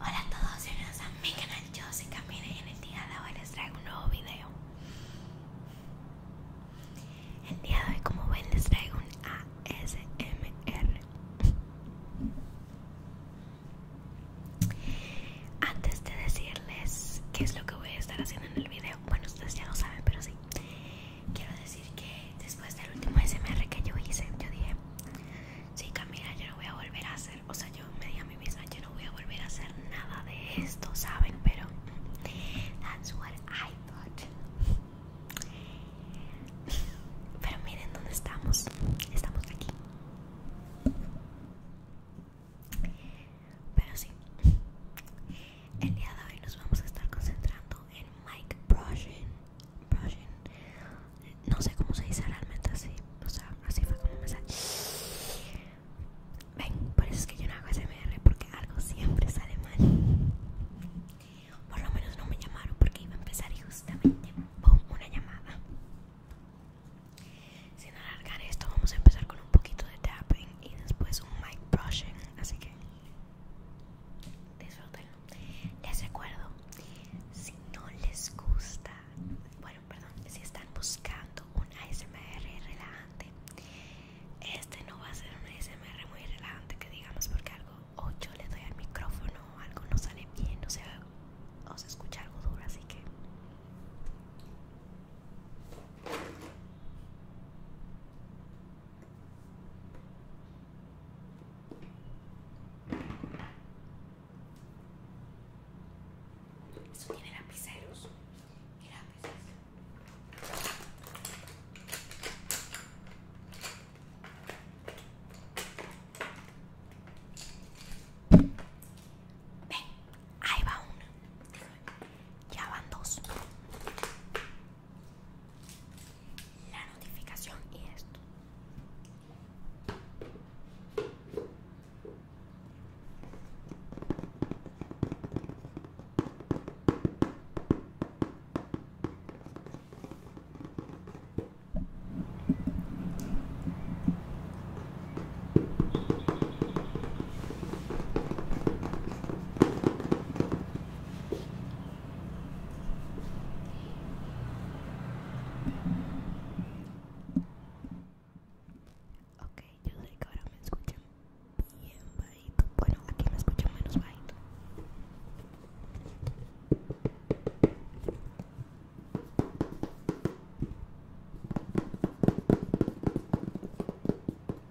Hola a todos, bienvenidos a mi canal Yo soy Camila y en el día de hoy les traigo un nuevo video El día de hoy como ven les traigo un ASMR Antes de decirles qué es lo que voy a estar haciendo en el video Bueno, ustedes ya lo saben, pero sí quiero decir que después del último SMR que yo hice, yo dije, sí Camila, yo no voy a volver a hacer, o sea, yo me di a mí misma, yo no voy a volver a hacer nada de esto, ¿saben? Pero that's what I thought. Pero miren dónde estamos, estamos aquí. Pero sí, el día de hoy nos vamos a estar concentrando en mic brushing, brushing. No sé cómo se dice realmente así, o sea, así fue como me sale Ven, por eso es que yo no hago SMR porque algo siempre sale mal. Por lo menos no me llamaron porque iba a empezar y justamente boom, una llamada. Sin alargar esto, vamos a empezar con un poquito de tapping y después un mic brushing, así que les recuerdo, si no les gusta, bueno, perdón, si están buscando un ASMR relajante, este no va a ser un ASMR muy relajante, que digamos, porque algo, o yo le doy al micrófono, algo no sale bien, o sea, o se escucha algo duro, así que. Eso tiene lapiceros y lápices. Ven, ahí va uno Ya van dos la notificación y esto Ok, yo sé que ahora me escuchan bien bajito. Bueno, aquí me escuchan menos bajito.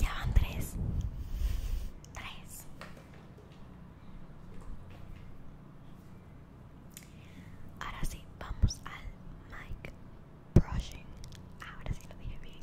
Ya van tres. Tres. Ahora sí, vamos al mic brushing. Ahora sí lo dije bien.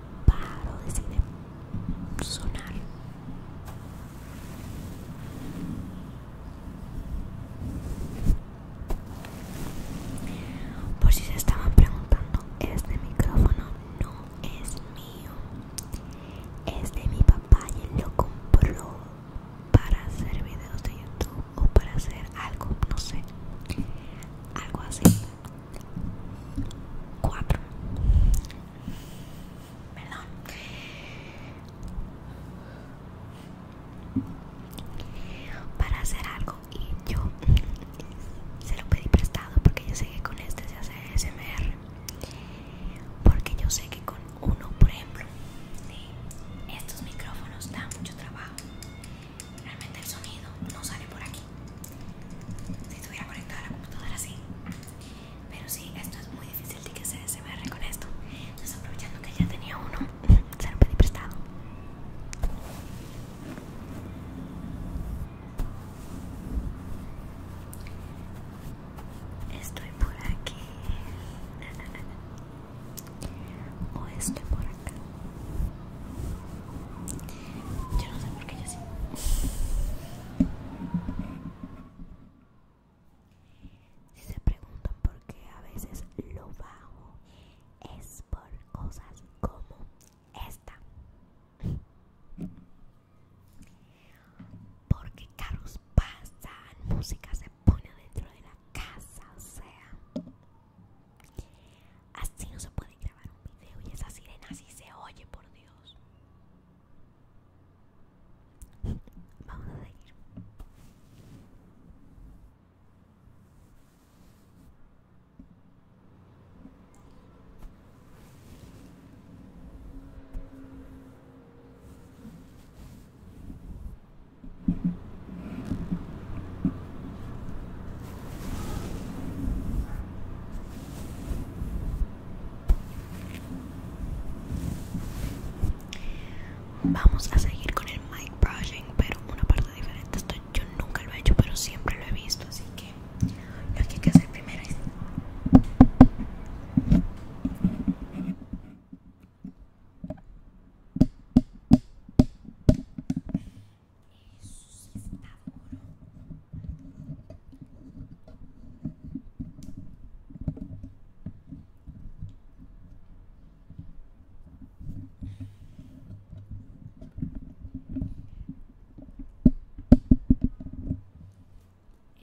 paro decide sonar por si se estaban preguntando este micrófono no es mío es de mi papá y él lo compró para hacer videos de youtube o para hacer algo no sé algo así 4 perdón para hacer algo y yo se lo pedí prestado porque yo sé que con este se hace SMR porque yo sé que con uno por ejemplo estos micrófonos dan mucho trabajo realmente el sonido no sale por aquí si estuviera conectado a la computadora así pero sí, esto es muy difícil de que se me SMR con esto entonces aprovechando que ya tenía uno se lo pedí prestado Estoy por aquí o estoy por acá. Yo no sé por qué yo sí. Si se preguntan por qué a veces lo bajo, es por cosas como esta. Porque carros pasan, música se pone dentro de la casa, o sea, Así no se puede grabar un video y esa sirena así se oye, por Dios. Vamos a seguir. Vamos a seguir con el mic brushing, pero una parte diferente. Esto yo nunca lo he hecho, pero siempre lo he visto, así que lo que que hacer primero es eso sí está duro.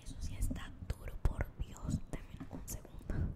Eso sí está duro, por Dios. Dame un segundo.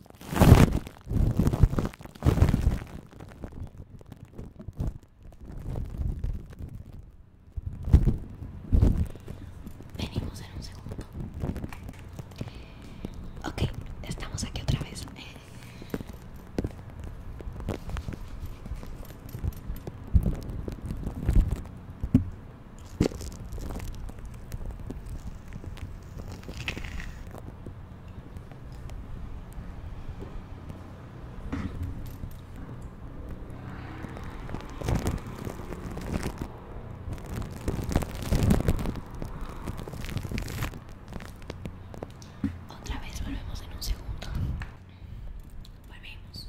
Venimos en un segundo. Ok, estamos aquí otra vez. Otra vez volvemos en un segundo. Volvemos.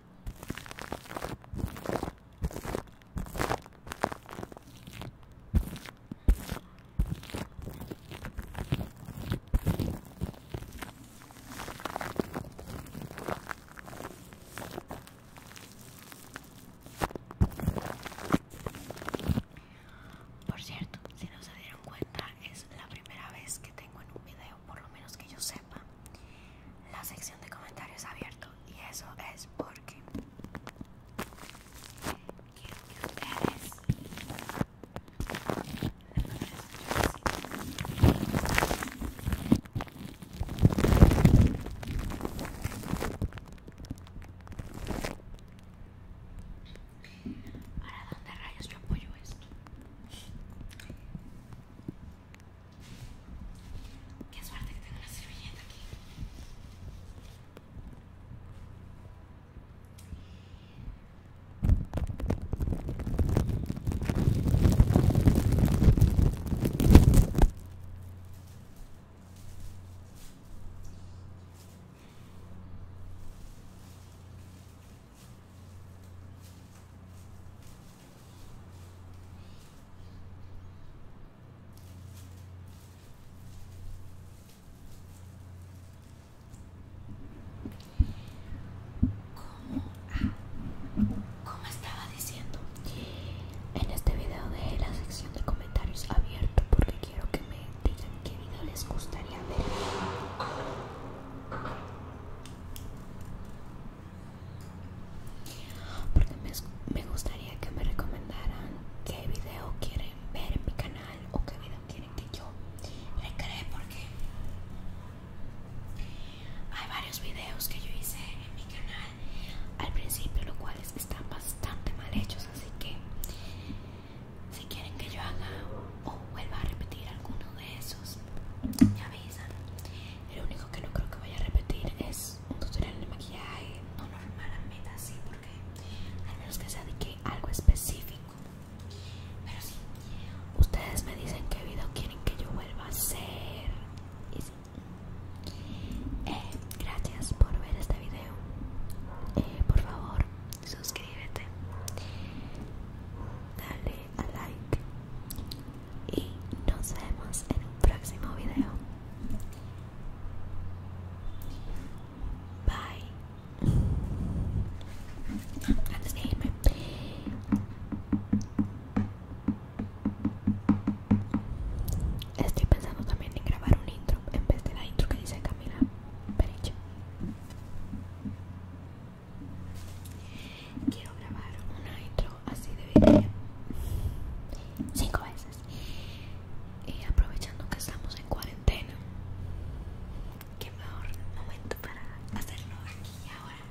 Por cierto, si no se dieron cuenta, es la primera vez que tengo en un video por lo menos que yo sepa, la sección de comentarios abierto y eso es porque quiero que ustedes Ahora, ¿dónde rayos yo apoyo esto? Qué suerte que tengo una servilleta aquí. Como, estaba diciendo, en este video de la sección de comentarios abierto porque quiero que me digan qué video les gustaría ver porque me, gustaría que me recomendaran qué video quieren ver en mi canal o qué video quieren que yo cree porque hay varios videos que yo hice en mi canal al principio los cuales están bastante mal hechos así que si quieren que yo haga o vuelva a repetir alguno de esos me avisan el único que no creo que vaya a repetir es un tutorial de maquillaje no normalmente así porque al menos que se dedique a algo específico pero si ustedes me dicen qué video quieren que yo vuelva a hacer y eh, gracias por ver este video eh, por favor suscríbete dale a like y nos vemos en un próximo video bye antes de irme estoy pensando también en grabar un intro en vez de la intro que dice Camila Pericho Quiero grabar una intro así de bien cinco veces. Y aprovechando que estamos en cuarentena, qué mejor momento para hacerlo aquí y ahora.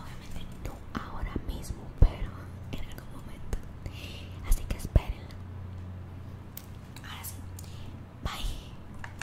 Obviamente no ahora mismo, pero en algún momento. Así que espérenlo. Ahora sí. Bye.